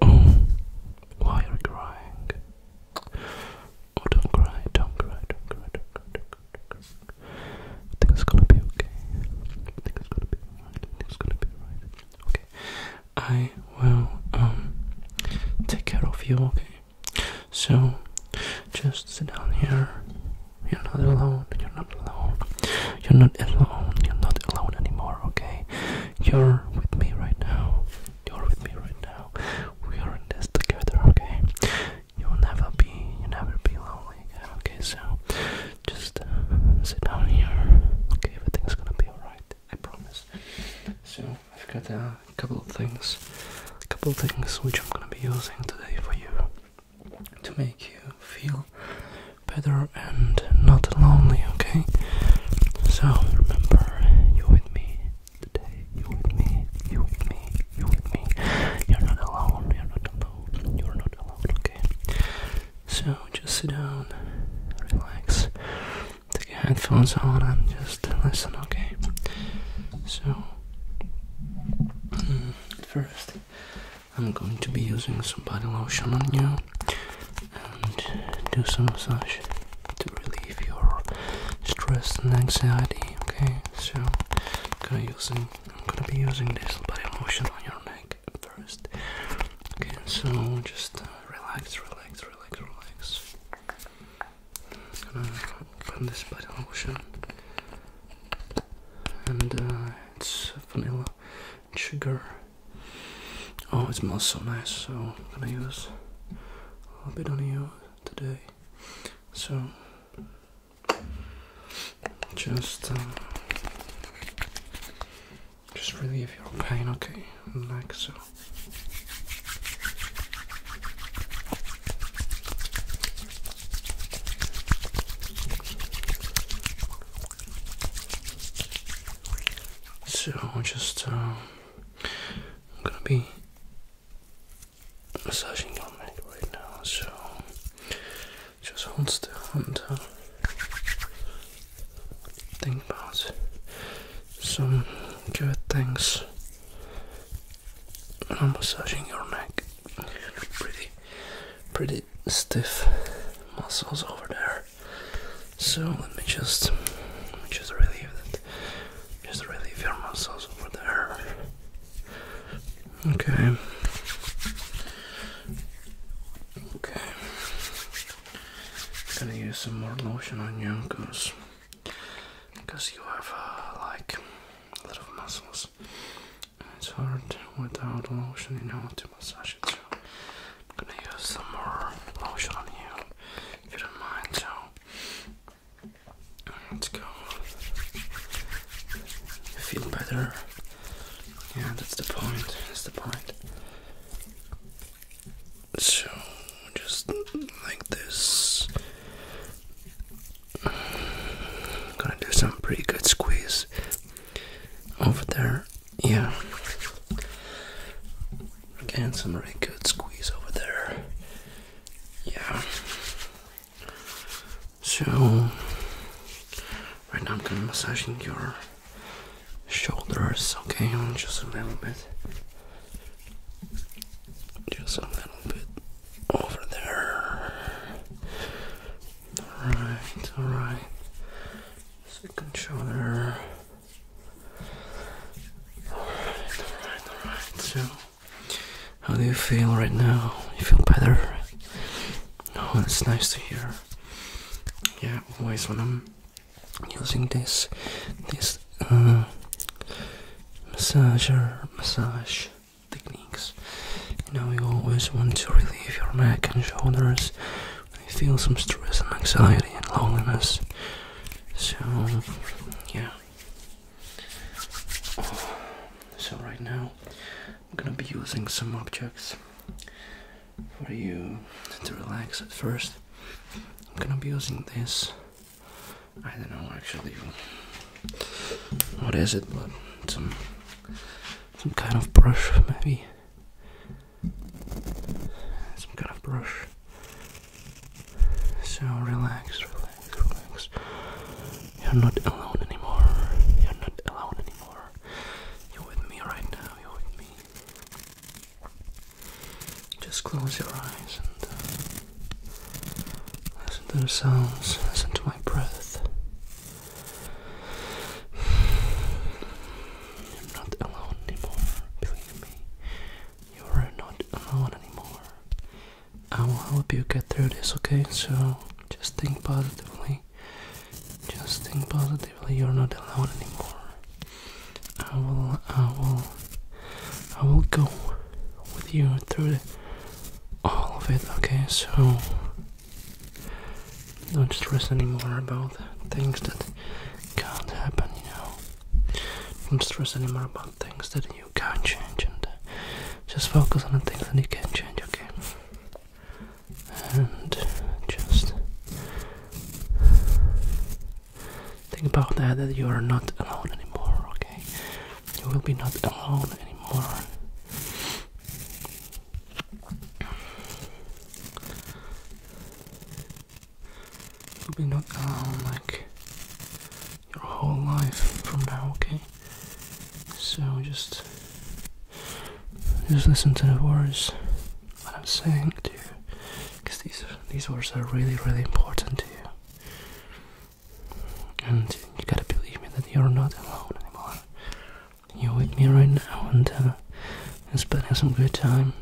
Oh, why are you crying? Oh, don't cry, don't cry, don't cry, don't cry, don't cry, don't cry. I think it's gonna be okay. I think it's gonna be alright. I think it's gonna be alright. Okay. I will um take care of you, okay? So just sit down here you're not alone. You're not alone. You're not alone. You're not alone anymore, okay? You're with me right now. You're with me right now. We are in this together, okay? You'll never be, you never be lonely again, okay? So just uh, sit down here, okay? Everything's gonna be alright, I promise. So I've got a couple of things, a couple of things which I'm gonna be using today for you to make you feel better and not lonely, okay? So remember, you with me today, you with me, you with me, you with me. You're not alone, you're not alone, you're not alone, okay? So just sit down, relax, take your headphones on and just listen, okay? So, mm, first, I'm going to be using some body lotion on you and do some massage to relieve your stress and anxiety. Okay, so I'm gonna be using this body lotion on your neck first. Okay, so just uh, relax, relax, relax, relax from this bottle, body lotion and uh, it's vanilla and sugar. Oh, it smells so nice, so I'm gonna use a little bit on you today. So, just, uh, just relieve your pain, okay? Like so. So just I'm um, gonna be massaging your neck right now. So just hold still and uh, think about some good things I'm massaging your neck. Pretty, pretty stiff muscles over there. So let me just, just relieve that. Just relieve your muscles over there. Okay. Okay. I'm gonna use some more lotion on you because because you have uh, like a lot of muscles and it's hard without lotion you know to massage it I'm gonna use some more lotion on you if you don't mind so let's go you feel better yeah that's the point that's the point so just like this. Gonna do some pretty good squeeze over there. Yeah. Again, some really good squeeze over there. Yeah. So, right now I'm gonna be massaging your shoulders, okay? Just a little bit. Just a little bit over there. Alright, alright. Second shoulder. Alright, alright, alright. So, how do you feel right now? You feel better? Oh, that's nice to hear. Yeah, always when I'm using this this uh, massager massage techniques. You know, you always want to relieve your neck and shoulders when feel some stress and anxiety and loneliness. So, yeah. So, right now, I'm gonna be using some objects for you to relax at first. I'm gonna be using this I don't know actually what is it, but some some kind of brush maybe. Some kind of brush. So relax, relax, relax. You're not alone anymore. You're not alone anymore. You're with me right now. You're with me. Just close your eyes and uh, listen to the sounds, listen to my breath. You're not alone anymore, believe me. You are not alone anymore. I will help you get through this, okay? So just think positively. Just think positively you're not alone anymore. I will I will I will go with you through all of it, okay? So don't stress anymore about things that can't happen, you know. Don't stress anymore about things that you can't change and just focus on the things that you can change, okay? And just Think about that, that you are not alone anymore, okay? You will be not alone anymore. will be not alone like your whole life from now, okay? So just just listen to the words what I'm saying to you, because these these words are really really important to you, and you gotta believe me that you're not alone anymore. You're with me right now, and uh, and spending some good time.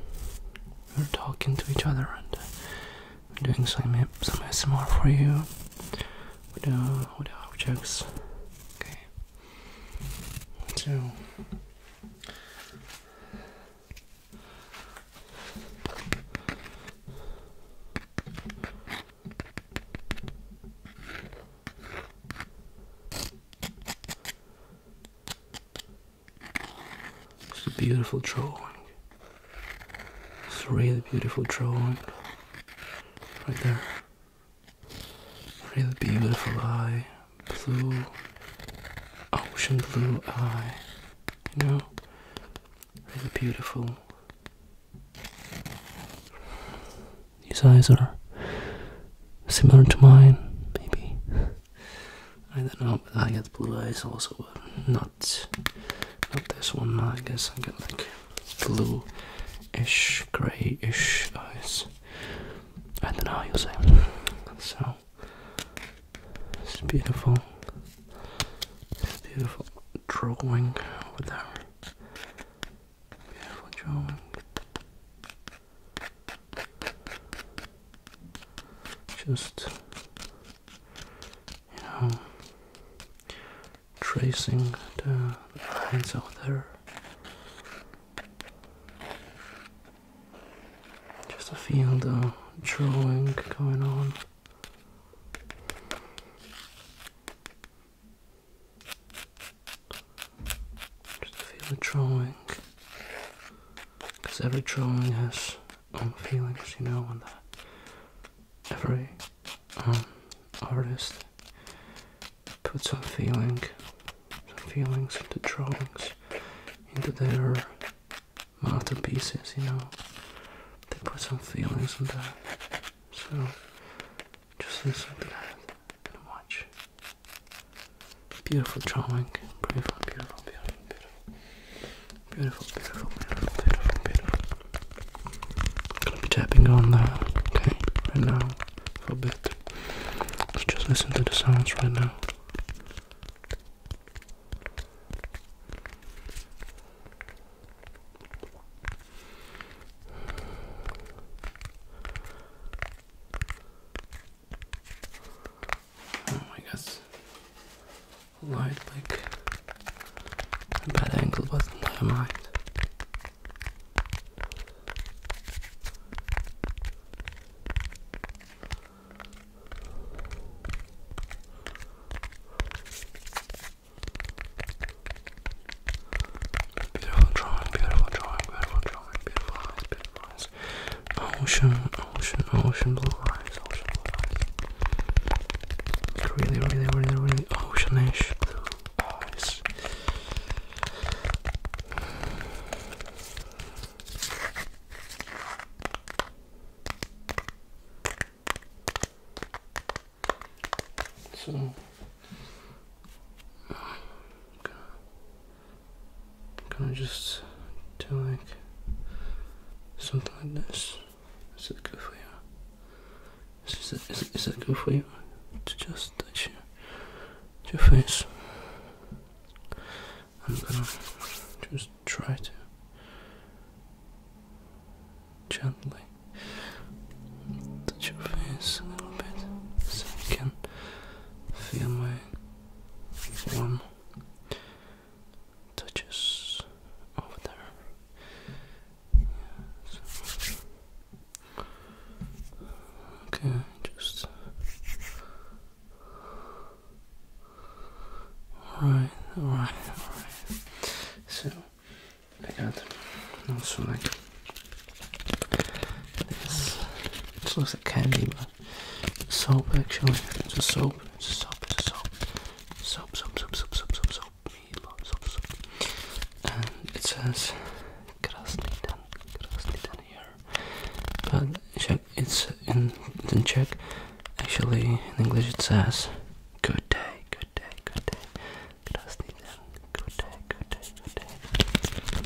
We're talking to each other and uh, doing some some ASMR for you with uh, with objects. Okay, so. It's a beautiful drawing. It's a really beautiful drawing. Right there. Really beautiful eye. Blue. Ocean blue eye. You know? Really beautiful. His eyes are similar to mine, maybe. I don't know, I get blue eyes also, not, not this one. I guess I got like blue ish, grey ish eyes. I don't know how you say. So it's beautiful. It's beautiful drawing with that. Beautiful drawing. Just you know tracing the, lines over there just a field of drawing going on. Just a field of drawing. Because every drawing has own feelings, you know, and every um, artist put some feeling, some feelings into drawings, into their masterpieces, you know. They put some feelings in that. So just listen to that and watch. Beautiful drawing. Beautiful, beautiful, beautiful, beautiful. Beautiful, beautiful, beautiful, beautiful, beautiful. I'm gonna be tapping on that, okay, right now for just listen to the sounds right now. Oh my god. Light like bad angle, but never mind. Beautiful drawing, beautiful drawing, beautiful drawing, beautiful eyes, beautiful eyes. Ocean, ocean, ocean blue eyes, ocean blue eyes. really, really, really, really oceanish eyes. So can I just do like something like this? Is it good for you? Is it, is it, is it good for you to just touch your, your face? I'm gonna just try to gently touch your face a little bit so you can feel my warm touches over there Okay, just alright, alright, alright. So I got also like this. This looks like candy, but soap actually. Just soap, just soap, just soap. Soap, soap, soap, soap, soap, soap, soap. And it says Krasnidan, here. But it's in, Czech. Actually, in English it says good day, good day, good day. Krasnidan, good day, good day, good day.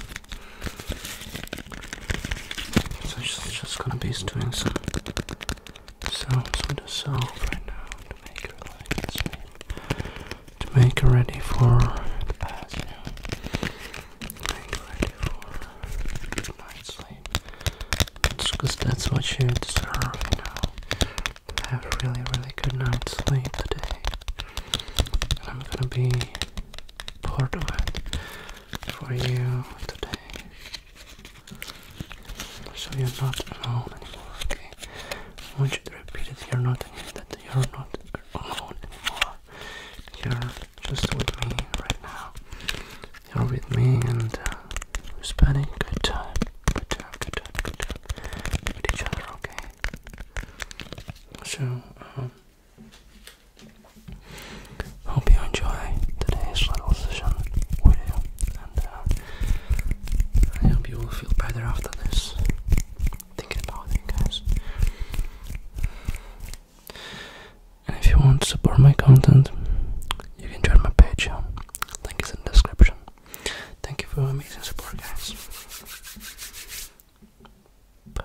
So she's just gonna be doing some sounds with a sound right now to make her like to make ready for the bath, yeah. sleep. It's because that's what you deserve, you Have really, really good night's sleep today. I'm gonna be part of it for you today. So you're not alone anymore, okay? I want you to repeat it. You're not that you're not alone anymore. You're just with me right now. You're with me and uh, we're spending good time. Good time, good time, good time. With each other, okay? So, um, Hope you enjoy today's little session with you, and uh, I hope you will feel better after this. Thinking about it, guys. And if you want to support my content, you can join my page. Link is in the description. Thank you for amazing support, guys. Bye.